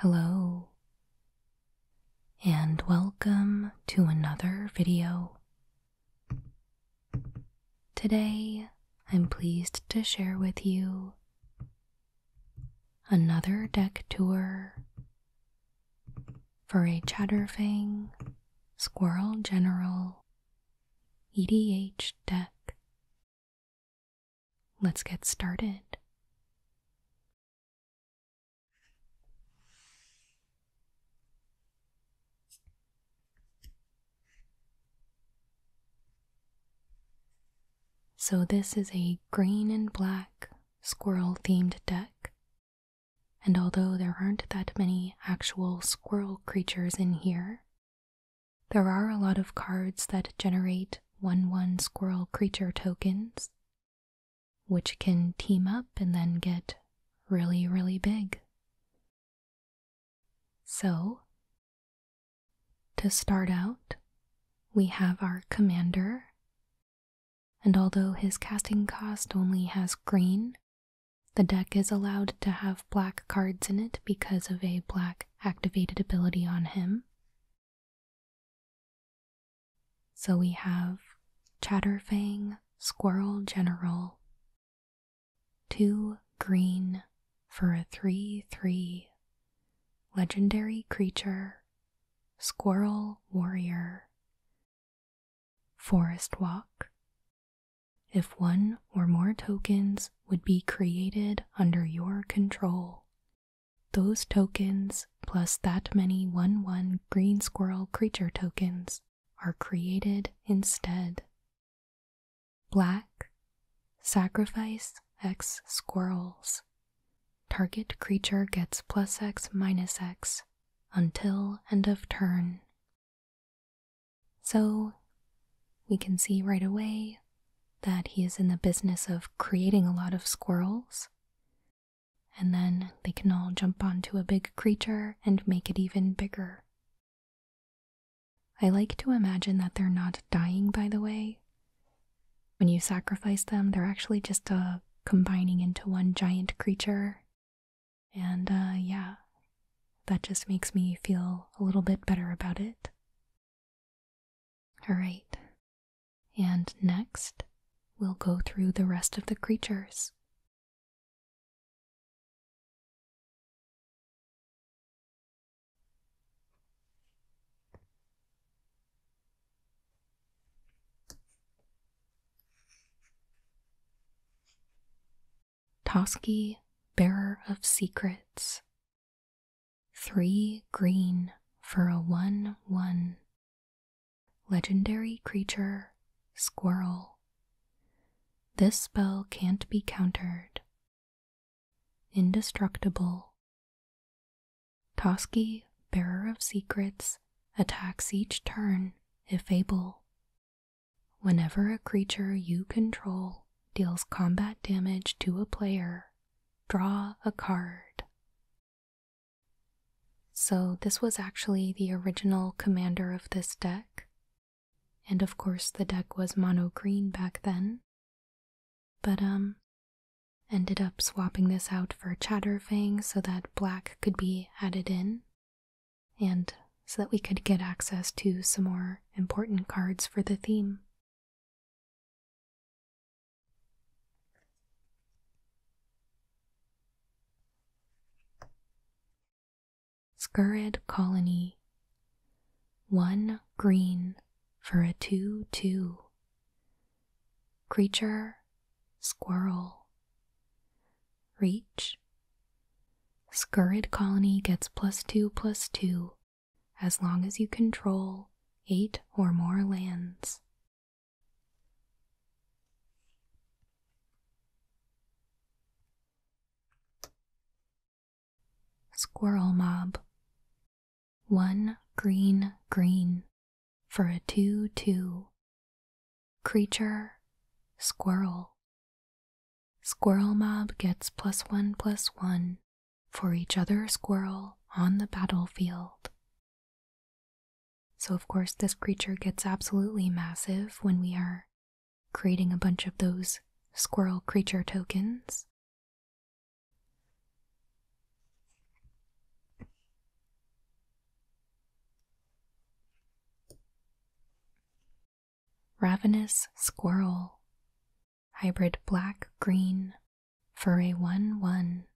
Hello, and welcome to another video. Today, I'm pleased to share with you another deck tour for a chatterfang, squirrel general, EDH deck. Let's get started. So, this is a green and black squirrel themed deck and although there aren't that many actual squirrel creatures in here, there are a lot of cards that generate 1 1 squirrel creature tokens, which can team up and then get really, really big. So, to start out, we have our commander, and although his casting cost only has green, the deck is allowed to have black cards in it because of a black activated ability on him. So we have Chatterfang, Squirrel General, 2 green for a 3 3 legendary creature, Squirrel Warrior, Forest Walk. If one or more tokens would be created under your control, those tokens plus that many 1 1 green squirrel creature tokens are created instead. Black, sacrifice X squirrels. Target creature gets plus X minus X until end of turn so, we can see right away that he is in the business of creating a lot of squirrels, and then they can all jump onto a big creature and make it even bigger. I like to imagine that they're not dying, by the way. When you sacrifice them, they're actually just uh, combining into one giant creature and uh, yeah, that just makes me feel a little bit better about it. Alright, and next we'll go through the rest of the creatures. Toski, bearer of secrets. Three green for a 1 1. Legendary creature, squirrel. This spell can't be countered. Indestructible. Toski, bearer of secrets, attacks each turn if able Whenever a creature you control deals combat damage to a player, draw a card. So, this was actually the original commander of this deck. And of course, the deck was mono green back then. But, um, ended up swapping this out for Chatterfang so that black could be added in and so that we could get access to some more important cards for the theme. Skurid Colony. One green for a 2 2. Creature squirrel. Reach. Scurrid colony gets plus two plus two as long as you control eight or more lands. Squirrel Mob. One green green for a 2 2 Creature Squirrel. Squirrel Mob gets plus one plus one for each other squirrel on the battlefield. So, of course, this creature gets absolutely massive when we are creating a bunch of those squirrel creature tokens. Ravenous squirrel, hybrid black green, for a 1 1.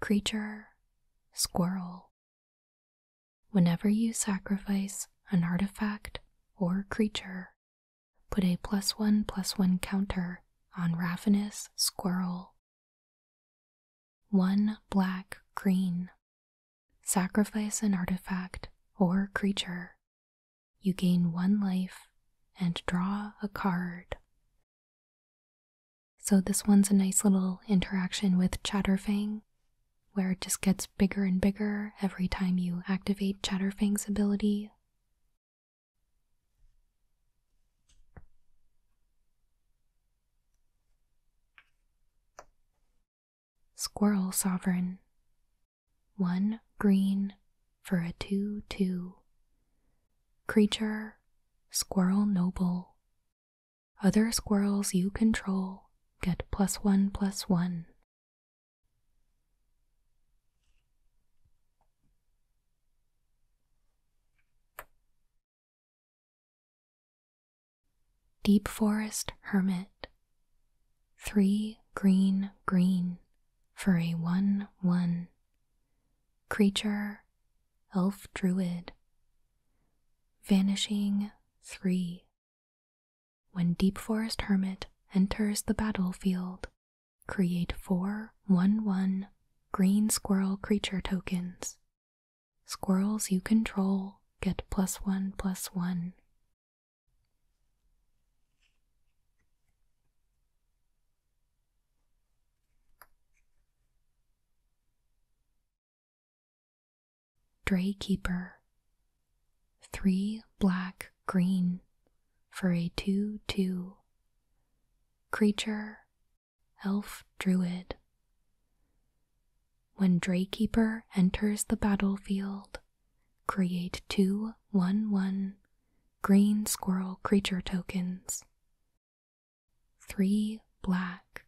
Creature, squirrel. Whenever you sacrifice an artifact or creature, put a plus 1 plus 1 counter on Ravenous squirrel one black green. Sacrifice an artifact or creature. You gain one life and draw a card. So, this one's a nice little interaction with Chatterfang, where it just gets bigger and bigger every time you activate Chatterfang's ability. Squirrel Sovereign. One green for a 2 2. Creature, Squirrel Noble. Other squirrels you control get plus 1 plus 1. Deep forest hermit, three green green for a one one. Creature, elf druid, vanishing three. When deep forest hermit enters the battlefield, create four one one green squirrel creature tokens Squirrels you control get plus one plus one. Dray Keeper. Three black green for a 2 2. Creature elf druid. When Draykeeper enters the battlefield, create two one-one green squirrel creature tokens. Three black.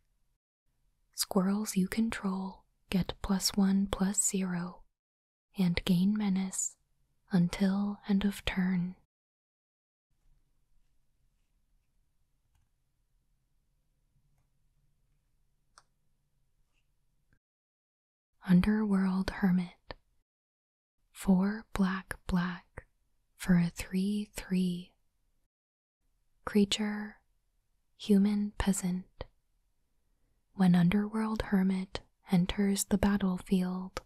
Squirrels you control get plus one plus zero and gain menace until end of turn. Underworld Hermit. Four black, black for a 3 3. Creature, human peasant. When Underworld Hermit enters the battlefield,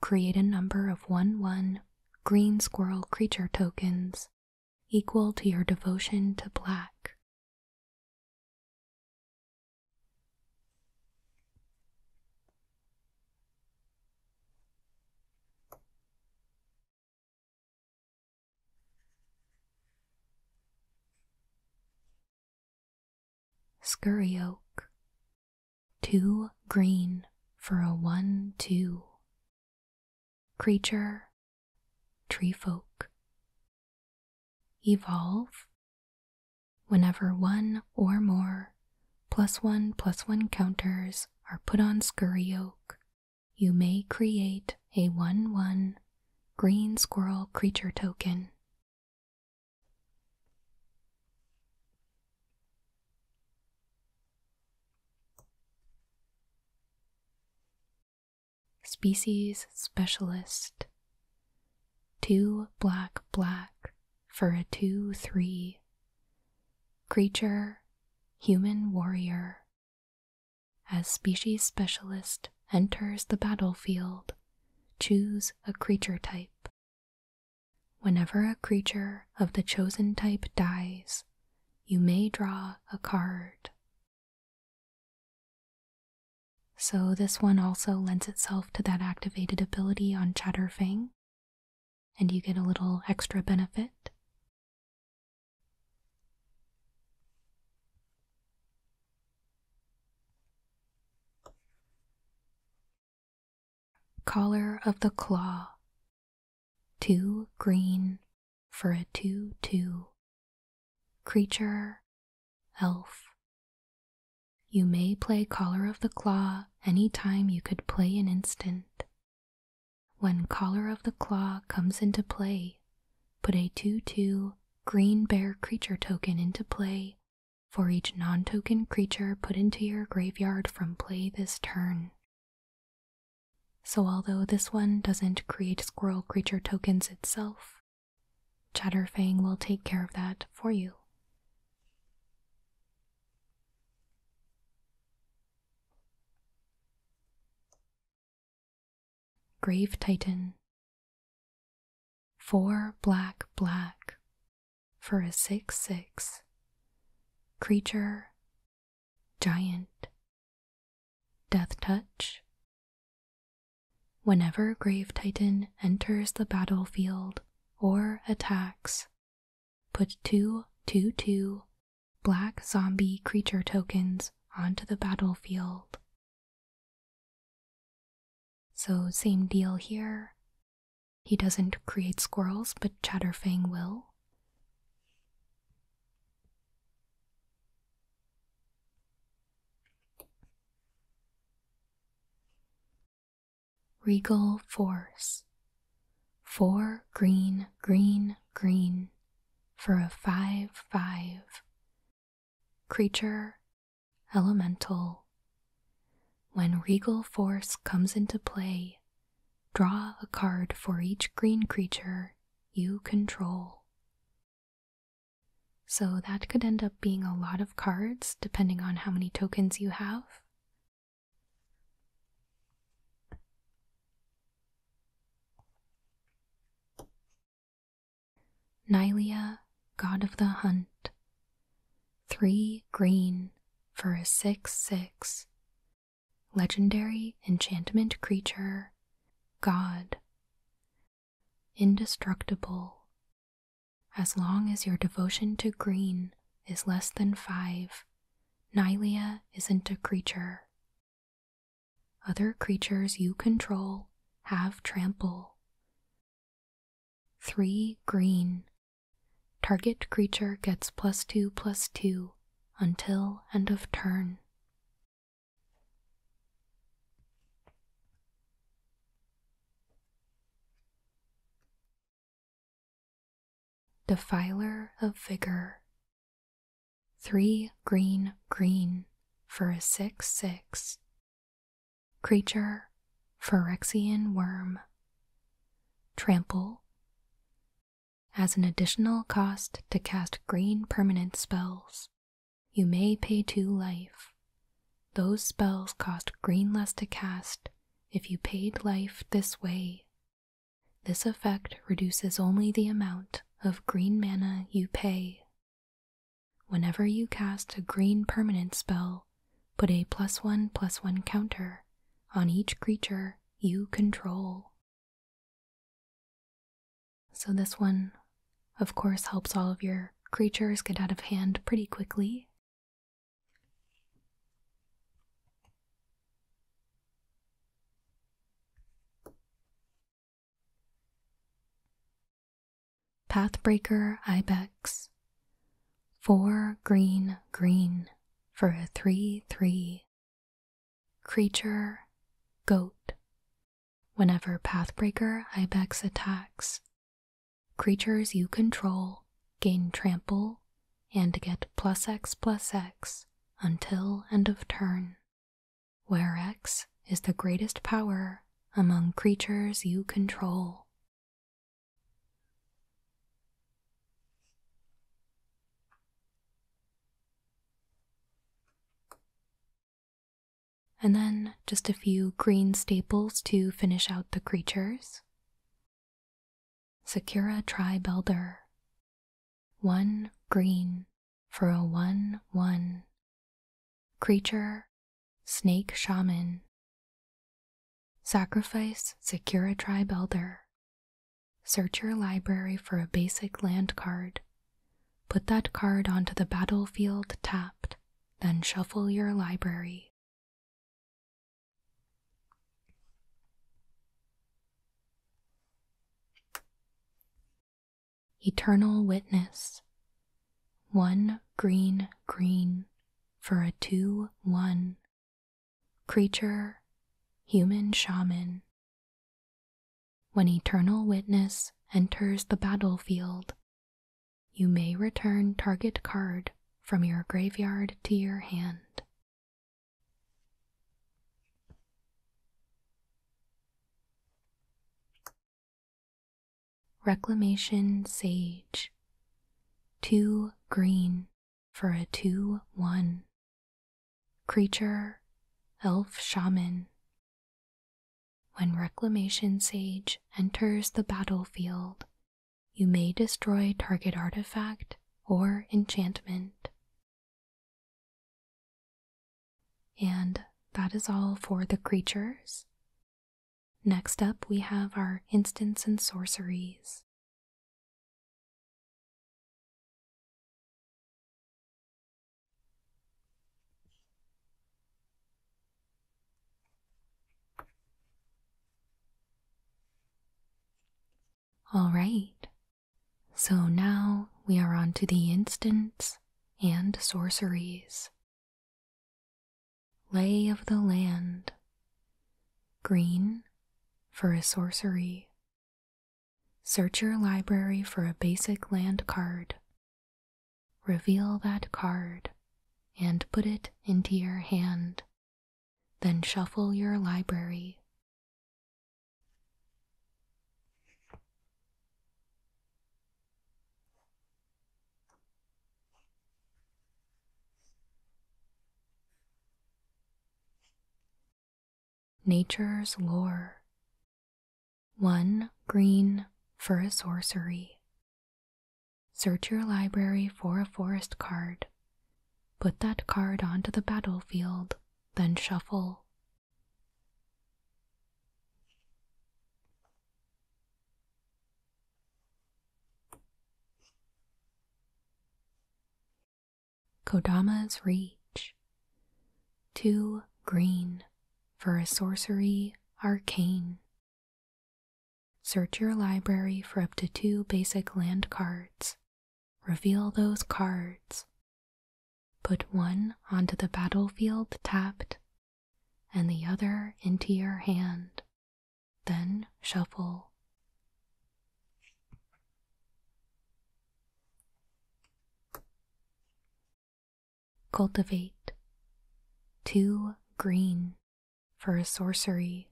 create a number of 1 1 green squirrel creature tokens equal to your devotion to black. Scurry oak, Too green for a one two creature, tree folk. Evolve whenever one or more plus one plus one counters are put on scurry oak. You may create a 1 1 green squirrel creature token. Species Specialist Two black black for a two three. Creature Human Warrior As Species Specialist enters the battlefield, choose a creature type. Whenever a creature of the chosen type dies, you may draw a card. So, this one also lends itself to that activated ability on Chatterfang, and you get a little extra benefit. Collar of the Claw Two green for a 2 2. Creature, elf. You may play Collar of the Claw any time you could play an instant. When Collar of the Claw comes into play, put a 2 2 green bear creature token into play for each non token creature put into your graveyard from play this turn. So, although this one doesn't create squirrel creature tokens itself, Chatterfang will take care of that for you. Grave Titan. Four black, black for a 6 6 creature Giant. Death Touch. Whenever Grave Titan enters the battlefield or attacks, put two two two black zombie creature tokens onto the battlefield. So, same deal here. He doesn't create squirrels, but Chatterfang will. Regal Force. Four green, green, green for a 5 5. Creature, elemental. When regal force comes into play, Draw a card for each green creature you control. So that could end up being a lot of cards depending on how many tokens you have. Nylea, God of the Hunt. Three green for a 6 6 legendary enchantment creature, God, indestructible. As long as your devotion to green is less than five, Nylea isn't a creature. Other creatures you control have trample. 3 green Target creature gets plus 2 plus 2 until end of turn. Defiler of Vigor. 3 green green for a 6 6. Creature, Phyrexian Worm. Trample. As an additional cost to cast green permanent spells, you may pay two life. Those spells cost green less to cast if you paid life this way. This effect reduces only the amount of green mana you pay. Whenever you cast a green permanent spell, put a plus one plus one counter on each creature you control. So, this one, of course, helps all of your creatures get out of hand pretty quickly. Pathbreaker Ibex. Four green green for a 3 3 Creature, goat. Whenever Pathbreaker Ibex attacks, creatures you control gain trample and get plus X X until end of turn, where X is the greatest power among creatures you control. And then just a few green staples to finish out the creatures. Secura Tribe Elder. One green for a 1 1. Creature Snake Shaman. Sacrifice Secura Tribe Elder. Search your library for a basic land card. Put that card onto the battlefield tapped, then shuffle your library. Eternal Witness. One green green for a 2 1 creature, human shaman. When eternal witness enters the battlefield, you may return target card from your graveyard to your hand. Reclamation Sage. Two green for a 2 1. Creature, Elf Shaman. When Reclamation Sage enters the battlefield, you may destroy target artifact or enchantment. And that is all for the creatures. Next up, we have our instants and sorceries. All right, so now we are on to the instants and sorceries. Lay of the land. Green for a sorcery. Search your library for a basic land card. Reveal that card and put it into your hand. Then shuffle your library. Nature's Lore. 1 Green for a sorcery. Search your library for a forest card. Put that card onto the battlefield, then shuffle. Kodama's Reach. Two green for a sorcery arcane. Search your library for up to two basic land cards. Reveal those cards. Put one onto the battlefield tapped and the other into your hand. Then shuffle. Cultivate two green for a sorcery.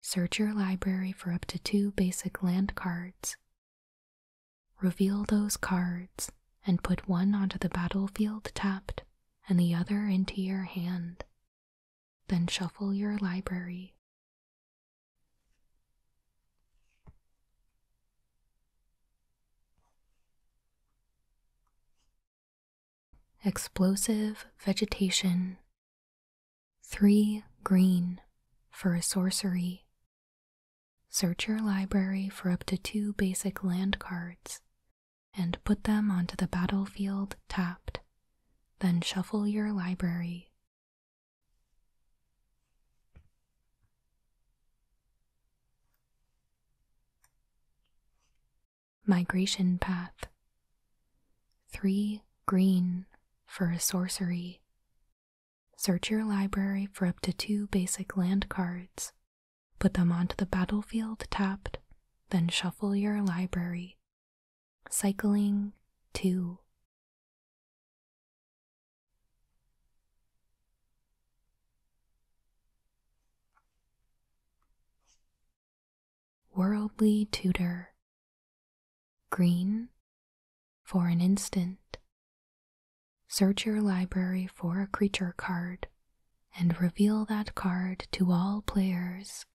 Search your library for up to two basic land cards. Reveal those cards and put one onto the battlefield tapped and the other into your hand then shuffle your library. Explosive vegetation. Three green for a sorcery. Search your library for up to two basic land cards and put them onto the battlefield tapped. Then shuffle your library. Migration Path Three green for a sorcery. Search your library for up to two basic land cards. Put them onto the battlefield tapped, then shuffle your library Cycling 2 Worldly Tutor Green for an instant. Search your library for a creature card and reveal that card to all players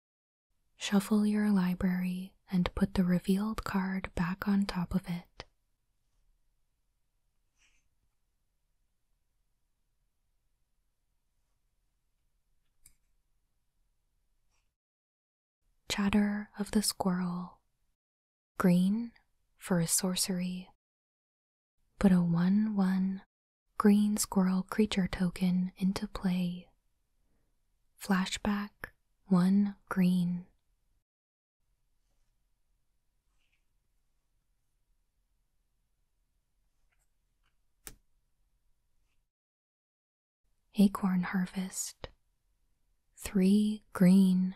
Shuffle your library and put the revealed card back on top of it. Chatter of the Squirrel. Green for a sorcery. Put a 1 1 green squirrel creature token into play Flashback 1 Green. Acorn Harvest. 3 Green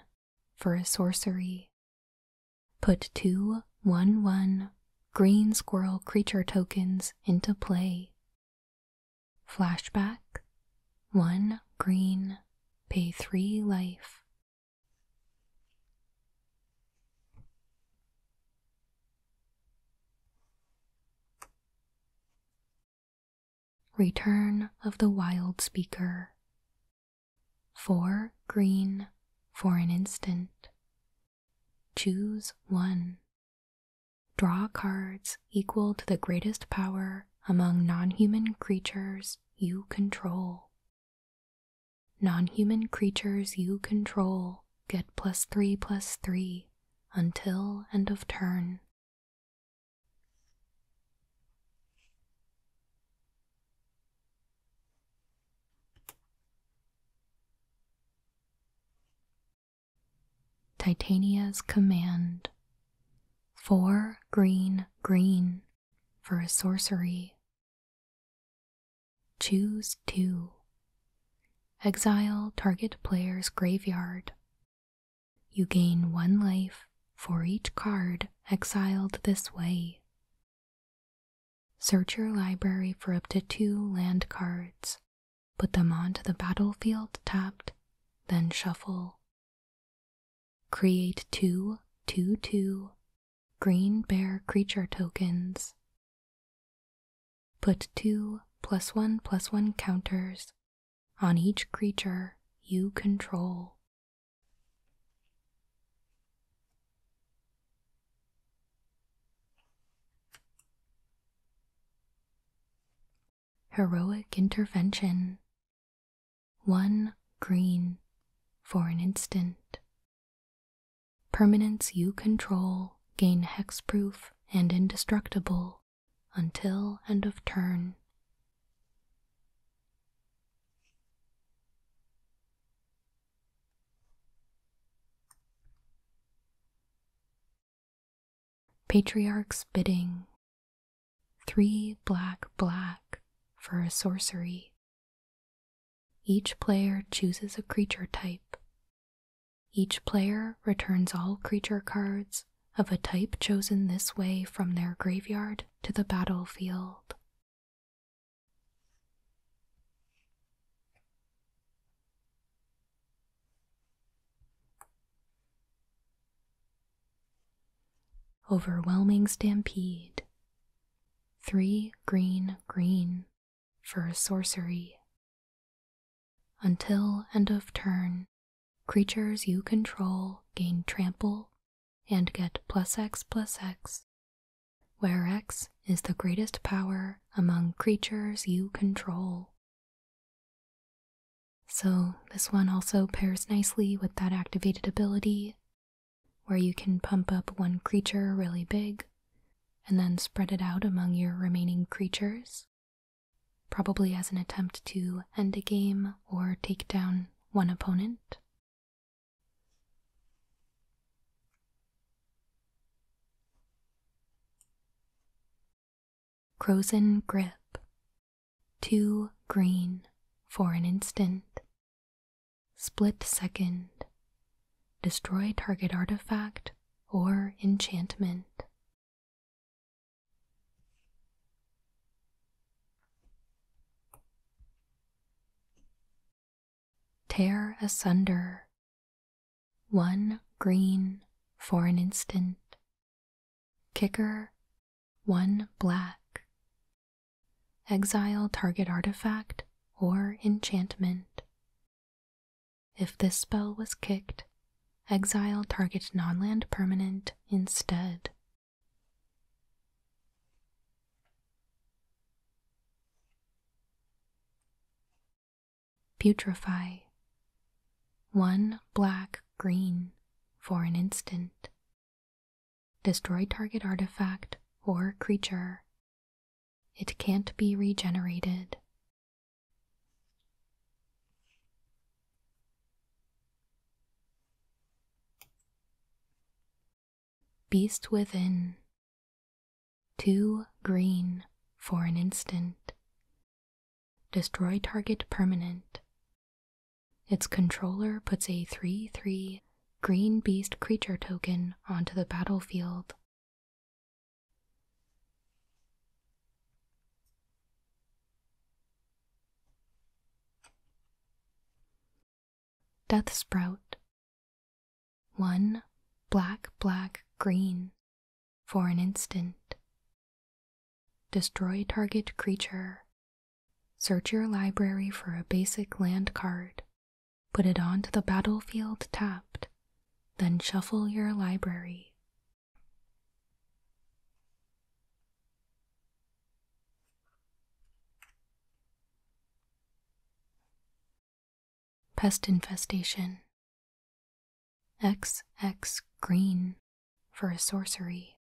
for a sorcery. Put two 1 1 green squirrel creature tokens into play Flashback One green, pay three life. Return of the Wild Speaker. Four green for an instant. Choose one. Draw cards equal to the greatest power among non human creatures you control. Non human creatures you control get plus three plus three until end of turn. Titania's command. Four green, green for a sorcery. Choose two. Exile target player's graveyard. You gain one life for each card exiled this way. Search your library for up to two land cards put them onto the battlefield tapped, then shuffle. Create two, two, two green bear creature tokens. Put two plus 1 plus 1 counters on each creature you control. Heroic intervention. One green for an instant. Permanence you control gain hexproof and indestructible until end of turn. Patriarch's bidding. Three black black for a sorcery. Each player chooses a creature type. Each player returns all creature cards of a type chosen this way from their graveyard to the battlefield. Overwhelming Stampede. Three green, green for sorcery. Until end of turn, creatures you control gain trample and get plus X plus X, where X is the greatest power among creatures you control. So, this one also pairs nicely with that activated ability where you can pump up one creature really big and then spread it out among your remaining creatures, probably as an attempt to end a game or take down one opponent. Crozen grip, too green for an instant, split second, destroy target artifact or enchantment. Tear asunder. One green for an instant. Kicker, one black. Exile target artifact or enchantment. If this spell was kicked, exile target nonland permanent instead putrefy, one black green for an instant, destroy target artifact or creature. It can't be regenerated. Beast Within too green for an instant. Destroy target permanent. Its controller puts a 3 3 green beast creature token onto the battlefield. Death Sprout. 1. Black, black, green for an instant. Destroy target creature. Search your library for a basic land card. Put it onto the battlefield tapped, then shuffle your library. Pest infestation. X X green for a sorcery.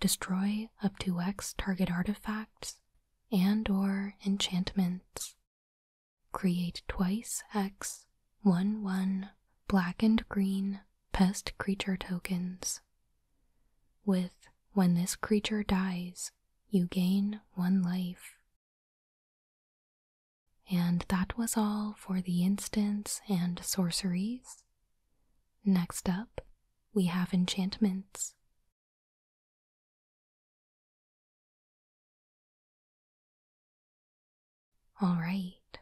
Destroy up to X target artifacts and or enchantments. Create twice X 1 1 black and green pest creature tokens. With when this creature dies, you gain one life. And that was all for the instants and sorceries. Next up, we have enchantments. Alright,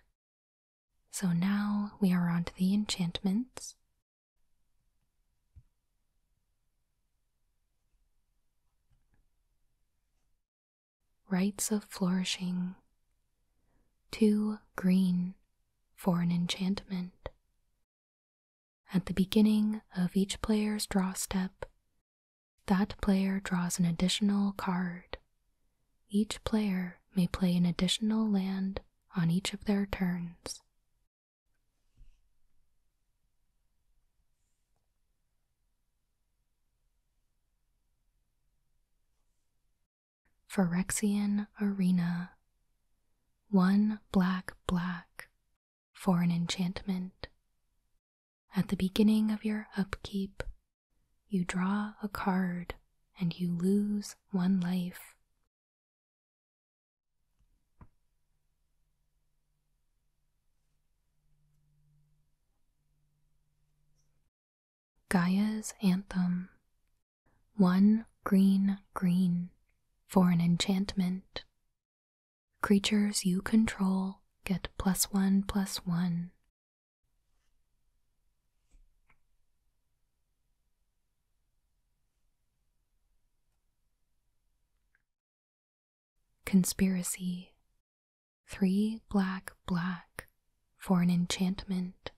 so now we are on to the enchantments. Rights of Flourishing. Two green for an enchantment. At the beginning of each player's draw step, that player draws an additional card. Each player may play an additional land on each of their turns. Phyrexian Arena. One black, black for an enchantment. At the beginning of your upkeep, you draw a card and you lose one life. Gaia's Anthem One green, green for an enchantment. Creatures you control get plus one, plus one. Conspiracy Three black black for an enchantment.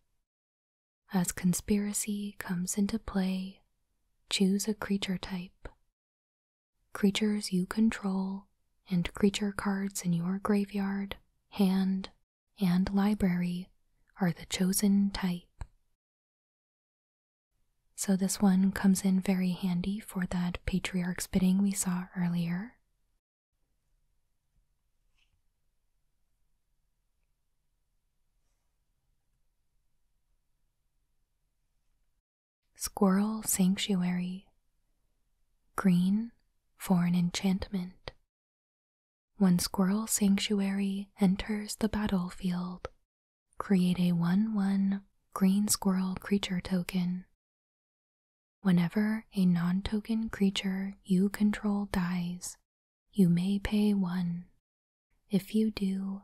As conspiracy comes into play, choose a creature type. Creatures you control and creature cards in your graveyard, hand, and library are the chosen type. So this one comes in very handy for that patriarch's bidding we saw earlier. Squirrel Sanctuary Green for an enchantment. When Squirrel Sanctuary enters the battlefield, create a 1 1 green squirrel creature token Whenever a non token creature you control dies, you may pay one. If you do,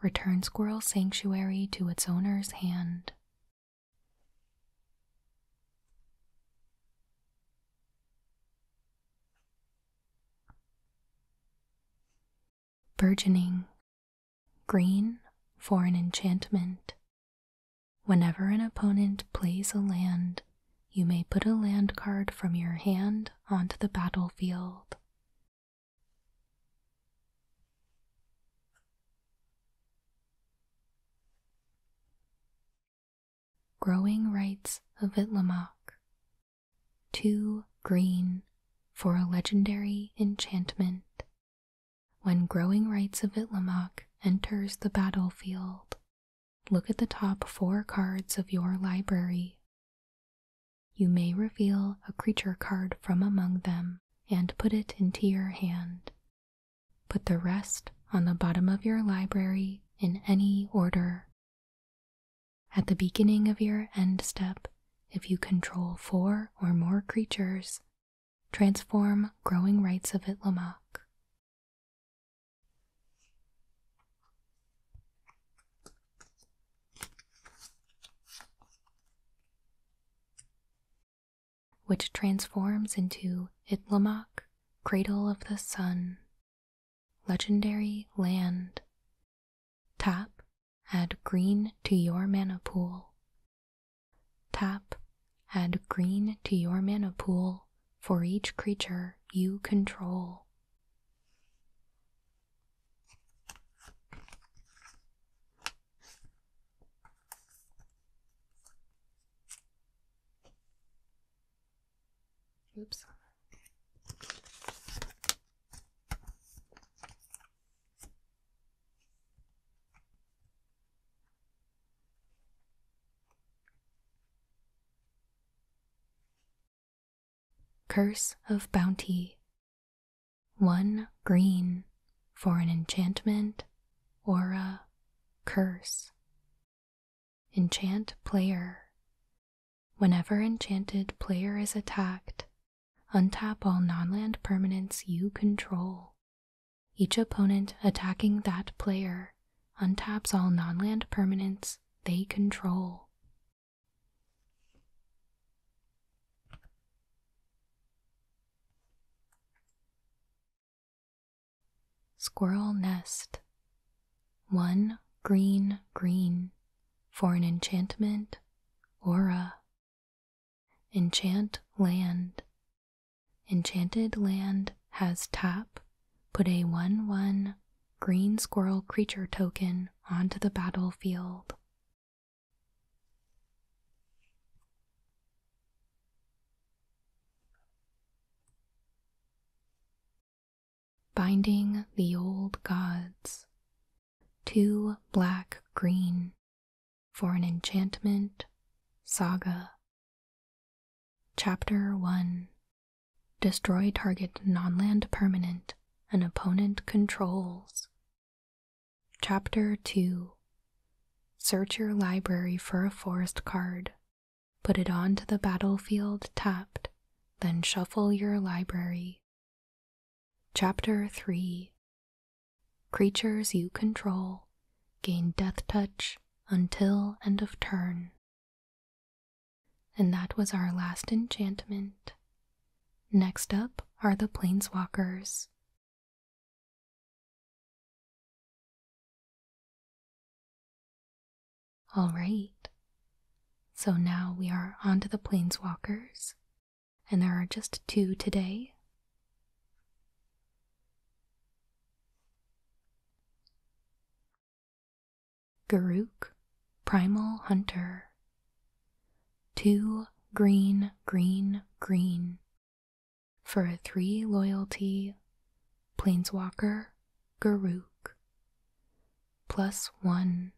return Squirrel Sanctuary to its owner's hand. Burgeoning Green for an enchantment. Whenever an opponent plays a land, you may put a land card from your hand onto the battlefield. Growing Rights of Itlamok. Two green for a legendary enchantment. When growing rights of Itlamok enters the battlefield, look at the top four cards of your library. You may reveal a creature card from among them and put it into your hand. Put the rest on the bottom of your library in any order. At the beginning of your end step, if you control four or more creatures, transform growing rights of Itlamok. Which transforms into Itlamok, Cradle of the Sun, Legendary Land. Tap, add green to your mana pool Tap, add green to your mana pool for each creature you control. Oops. Curse of Bounty One green for an enchantment, or a curse. Enchant Player Whenever enchanted player is attacked, Untap all nonland permanents you control. Each opponent attacking that player untaps all nonland permanents they control. Squirrel Nest 1 green green for an enchantment aura Enchant Land. Enchanted Land has tap. Put a 1 1 green squirrel creature token onto the battlefield. Binding the Old Gods two black green for an enchantment saga. Chapter 1 Destroy target non-land permanent an opponent controls. Chapter 2 Search your library for a forest card. Put it onto the battlefield tapped, then shuffle your library. Chapter 3 Creatures you control gain death touch until end of turn. And that was our last enchantment. Next up are the Planeswalkers. Alright, so now we are on to the Planeswalkers and there are just two today. Garuk, Primal Hunter. Two green, green, green. For a three loyalty, Planeswalker, Garuk. Plus one.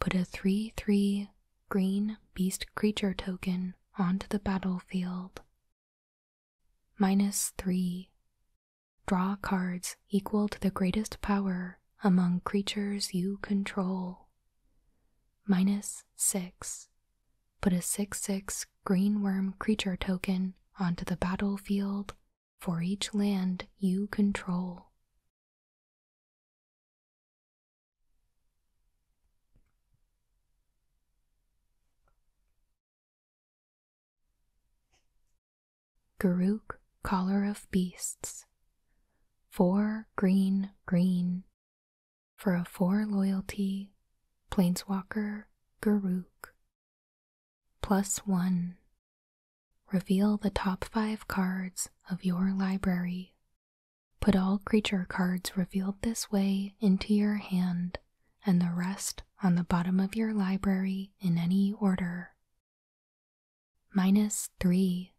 Put a 3 3 green beast creature token onto the battlefield. Minus 3. Draw cards equal to the greatest power among creatures you control. Minus 6. Put a 6 6 green worm creature token onto the battlefield for each land you control. Garuk, Caller of beasts. Four green, green. For a four loyalty, Planeswalker, Garuk. Plus one. Reveal the top five cards of your library Put all creature cards revealed this way into your hand and the rest on the bottom of your library in any order. Minus 3.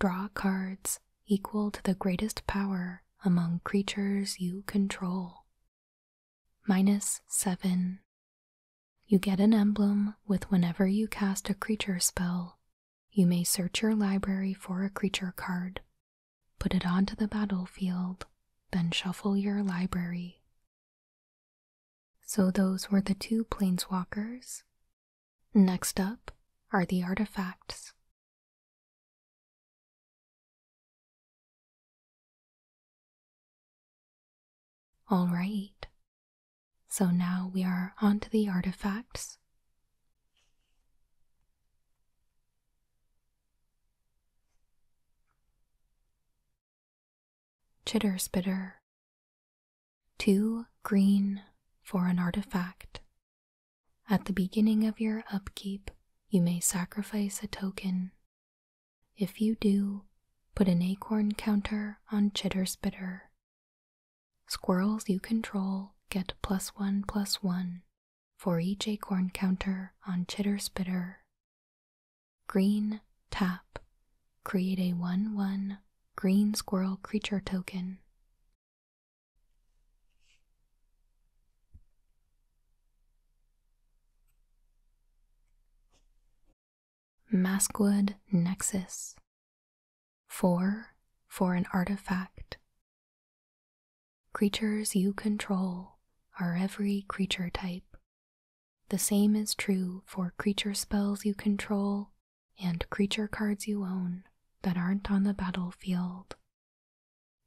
Draw cards equal to the greatest power among creatures you control. Minus 7. You get an emblem with whenever you cast a creature spell you may search your library for a creature card, put it onto the battlefield, then shuffle your library. So those were the two planeswalkers. Next up are the artifacts. All right. So now we are onto the artifacts. Chitter Spitter. Two green for an artifact. At the beginning of your upkeep, you may sacrifice a token. If you do, put an acorn counter on Chitter Spitter. Squirrels you control get plus one plus one for each acorn counter on Chitter Spitter. Green tap. Create a 1 1 green squirrel creature token. Maskwood Nexus. Four for an artifact. Creatures you control are every creature type. The same is true for creature spells you control and creature cards you own that aren't on the battlefield.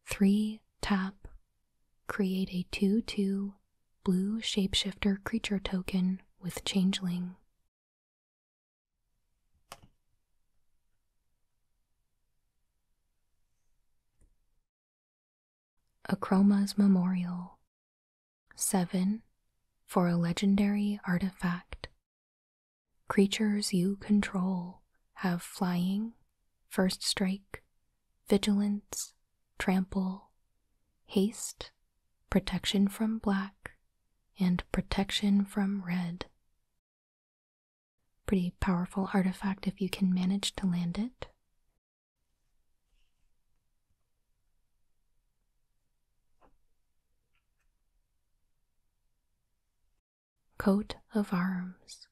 3. Tap. Create a 2 2 blue shapeshifter creature token with Changeling Acroma's Memorial 7. For a legendary artifact. Creatures you control have flying, first strike, vigilance, trample, haste, protection from black, and protection from red. Pretty powerful artifact if you can manage to land it. Coat of Arms.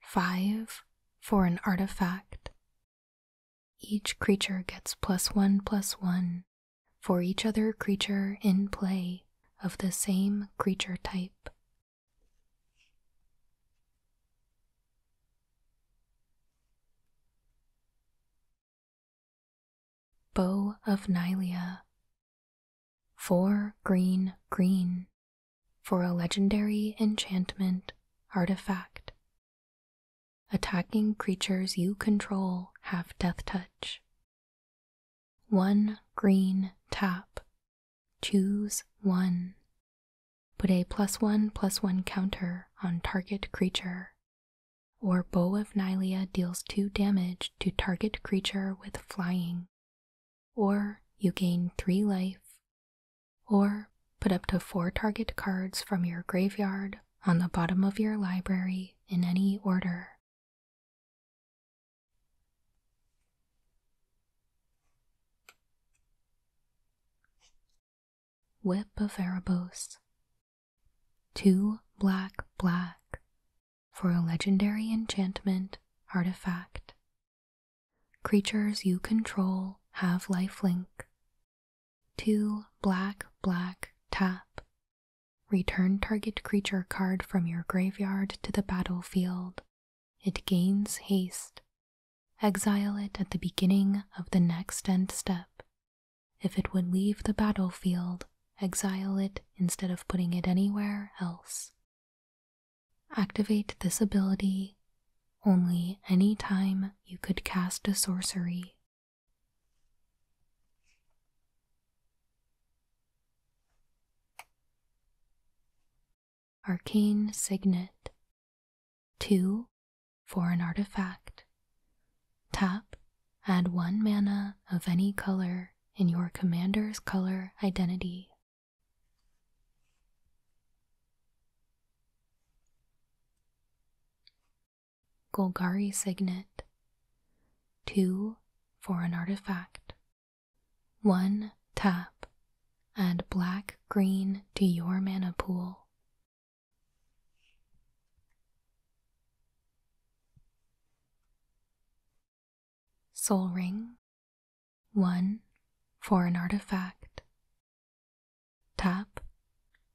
Five for an artifact. Each creature gets plus one plus one for each other creature in play of the same creature type. Bow of Nylea. Four green, green for a legendary enchantment artifact. Attacking creatures you control have death touch one green tap. Choose one. Put a plus one plus one counter on target creature. Or Bow of Nylea deals two damage to target creature with flying. Or you gain three life. Or put up to four target cards from your graveyard on the bottom of your library in any order. Whip of Erebos. Two black black for a legendary enchantment artifact. Creatures you control have lifelink. Two black black tap Return target creature card from your graveyard to the battlefield. It gains haste. Exile it at the beginning of the next end step. If it would leave the battlefield, exile it instead of putting it anywhere else. Activate this ability only any time you could cast a sorcery. Arcane Signet. 2. For an artifact. Tap, add 1 mana of any color in your commander's color identity. Golgari signet. 2 for an artifact. 1 tap. Add black green to your mana pool. Soul Ring. 1 for an artifact. Tap.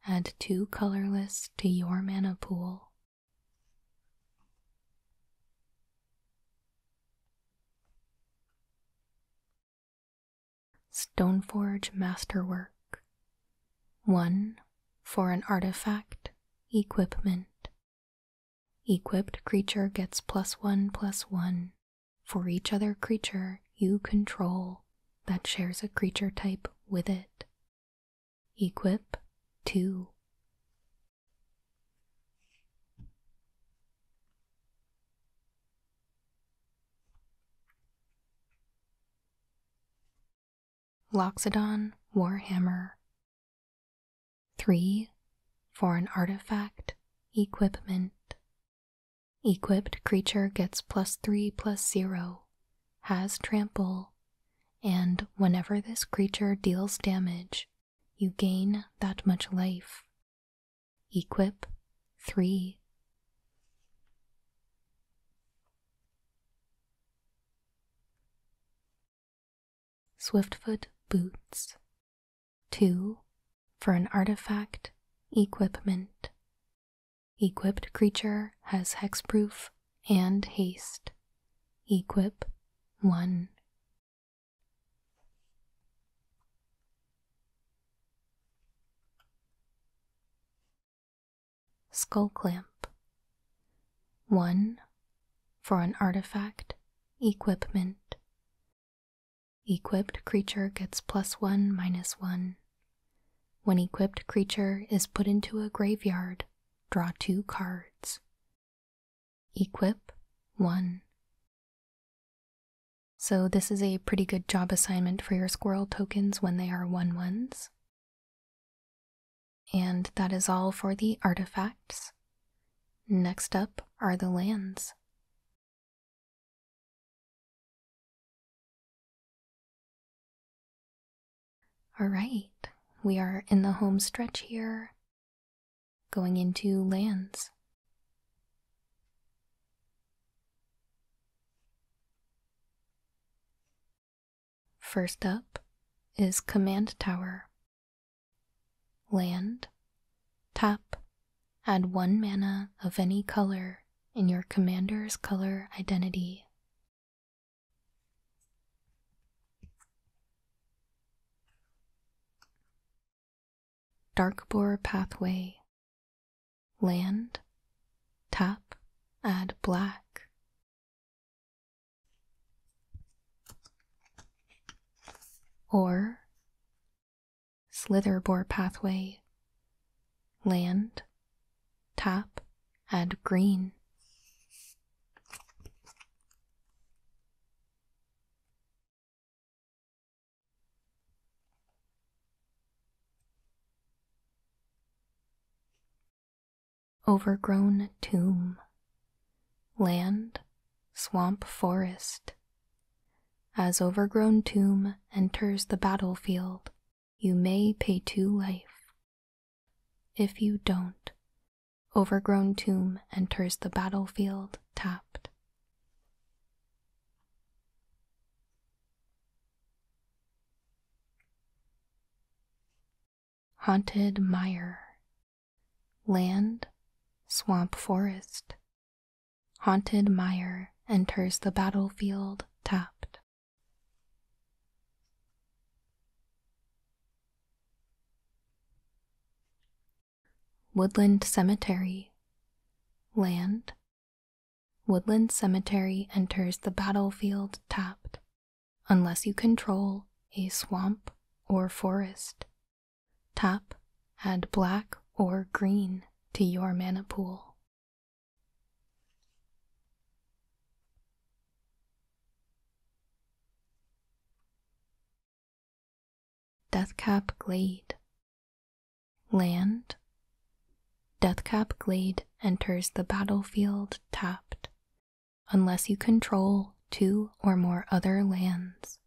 Add two colorless to your mana pool. Stoneforge Masterwork 1. For an artifact, equipment. Equipped creature gets plus 1 plus 1 for each other creature you control that shares a creature type with it Equip 2 Loxodon Warhammer 3 for an artifact equipment. Equipped creature gets plus 3 plus 0 has trample, and whenever this creature deals damage, you gain that much life. Equip 3. Swiftfoot Boots. 2. For an artifact, equipment. Equipped creature has hexproof and haste. Equip 1. Skull Clamp 1. For an artifact, equipment. Equipped creature gets plus 1 minus 1. When equipped creature is put into a graveyard Draw two cards. Equip one. So, this is a pretty good job assignment for your squirrel tokens when they are one ones. And that is all for the artifacts. Next up are the lands. All right, we are in the home stretch here, going into lands. First up is Command Tower. Land, tap, add one mana of any color in your commander's color identity Dark Bore Pathway Land Tap Add Black Or Slither Bore Pathway Land tap, and green. Overgrown tomb, land, swamp forest. As overgrown tomb enters the battlefield, you may pay to life. If you don't, overgrown tomb enters the battlefield tapped. Haunted mire, land, swamp forest. Haunted mire enters the battlefield tapped. Woodland Cemetery. Land. Woodland Cemetery enters the battlefield tapped, unless you control a swamp or forest. Tap, add black or green to your mana pool. Deathcap Glade Land Deathcap Glade enters the battlefield tapped, unless you control two or more other lands.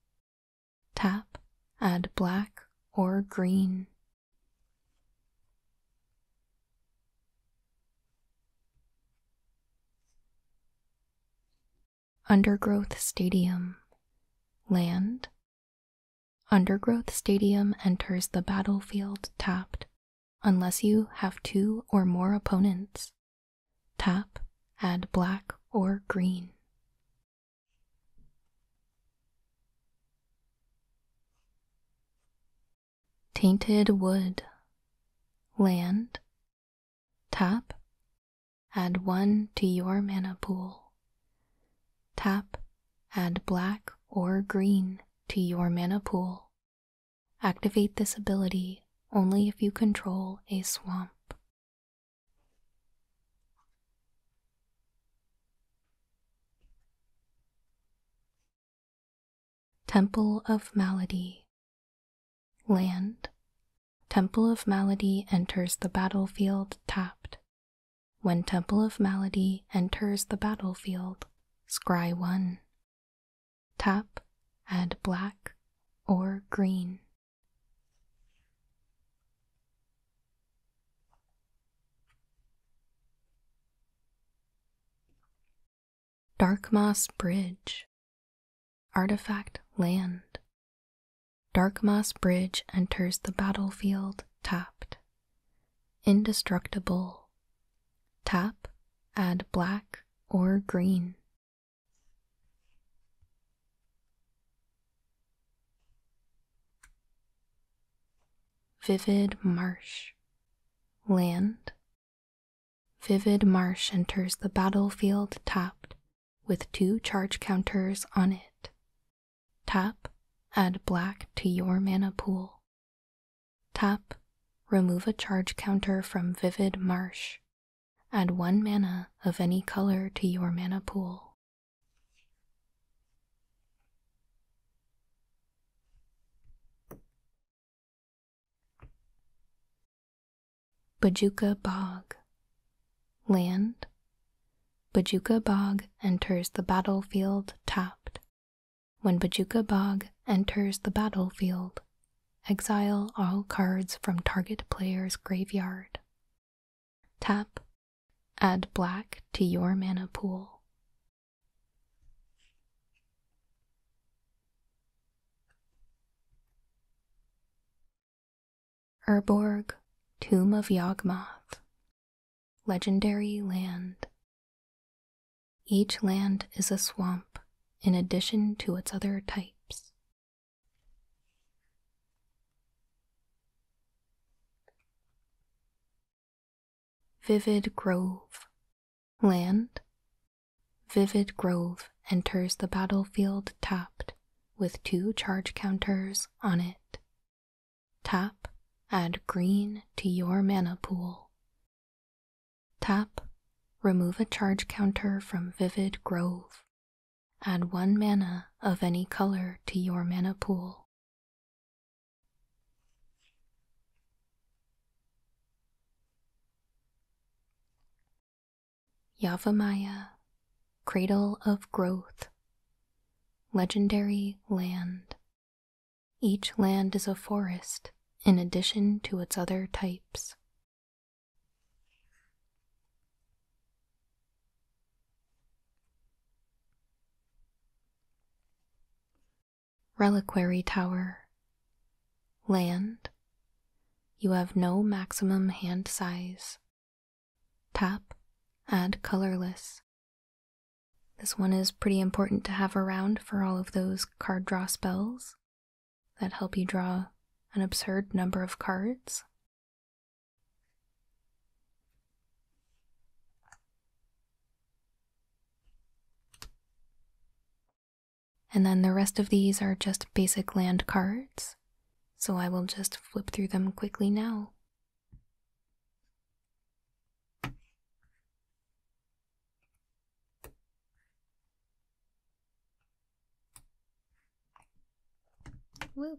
Tap, add black or green. Undergrowth Stadium Land Undergrowth Stadium enters the battlefield tapped unless you have two or more opponents. Tap, add black or green. Tainted wood. Land. Tap. Add one to your mana pool. Tap. Add black or green to your mana pool. Activate this ability only if you control a swamp. Temple of Malady. Land. Temple of Malady enters the battlefield tapped. When Temple of Malady enters the battlefield, scry 1. Tap, add black or green. Dark Moss Bridge, Artifact Land. Dark Moss Bridge enters the battlefield tapped. Indestructible. Tap, add black or green. Vivid Marsh. Land, Vivid Marsh enters the battlefield tapped with two charge counters on it. Tap, add black to your mana pool. Tap, remove a charge counter from Vivid Marsh. Add one mana of any color to your mana pool. Bajuka Bog Land Bajuka Bog enters the battlefield tapped. When Bajuka Bog enters the battlefield, exile all cards from target player's graveyard. Tap Add black to your mana pool. Erborg, Tomb of Yawgmoth, Legendary Land. Each land is a swamp in addition to its other types. Vivid Grove. Land. Vivid Grove enters the battlefield tapped with two charge counters on it. Tap, add green to your mana pool. Tap, remove a charge counter from Vivid Grove. Add one mana of any color to your mana pool. Yavamaya, Cradle of Growth, Legendary Land. Each land is a forest in addition to its other types. Reliquary Tower. Land. You have no maximum hand size. Tap. Add colorless. This one is pretty important to have around for all of those card draw spells that help you draw an absurd number of cards. And then the rest of these are just basic land cards, so I will just flip through them quickly now. Woo.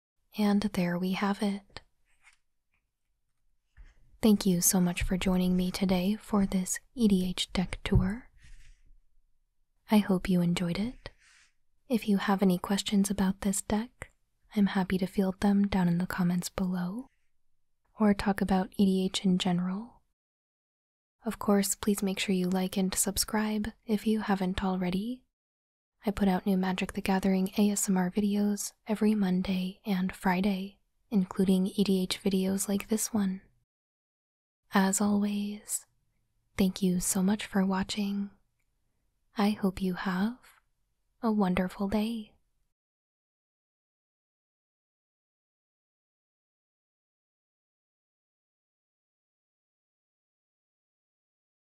And there we have it. Thank you so much for joining me today for this EDH deck tour. I hope you enjoyed it. If you have any questions about this deck, I'm happy to field them down in the comments below, or talk about EDH in general. Of course, please make sure you like and subscribe if you haven't already, I put out new Magic the Gathering ASMR videos every Monday and Friday, including EDH videos like this one. As always, thank you so much for watching. I hope you have a wonderful day.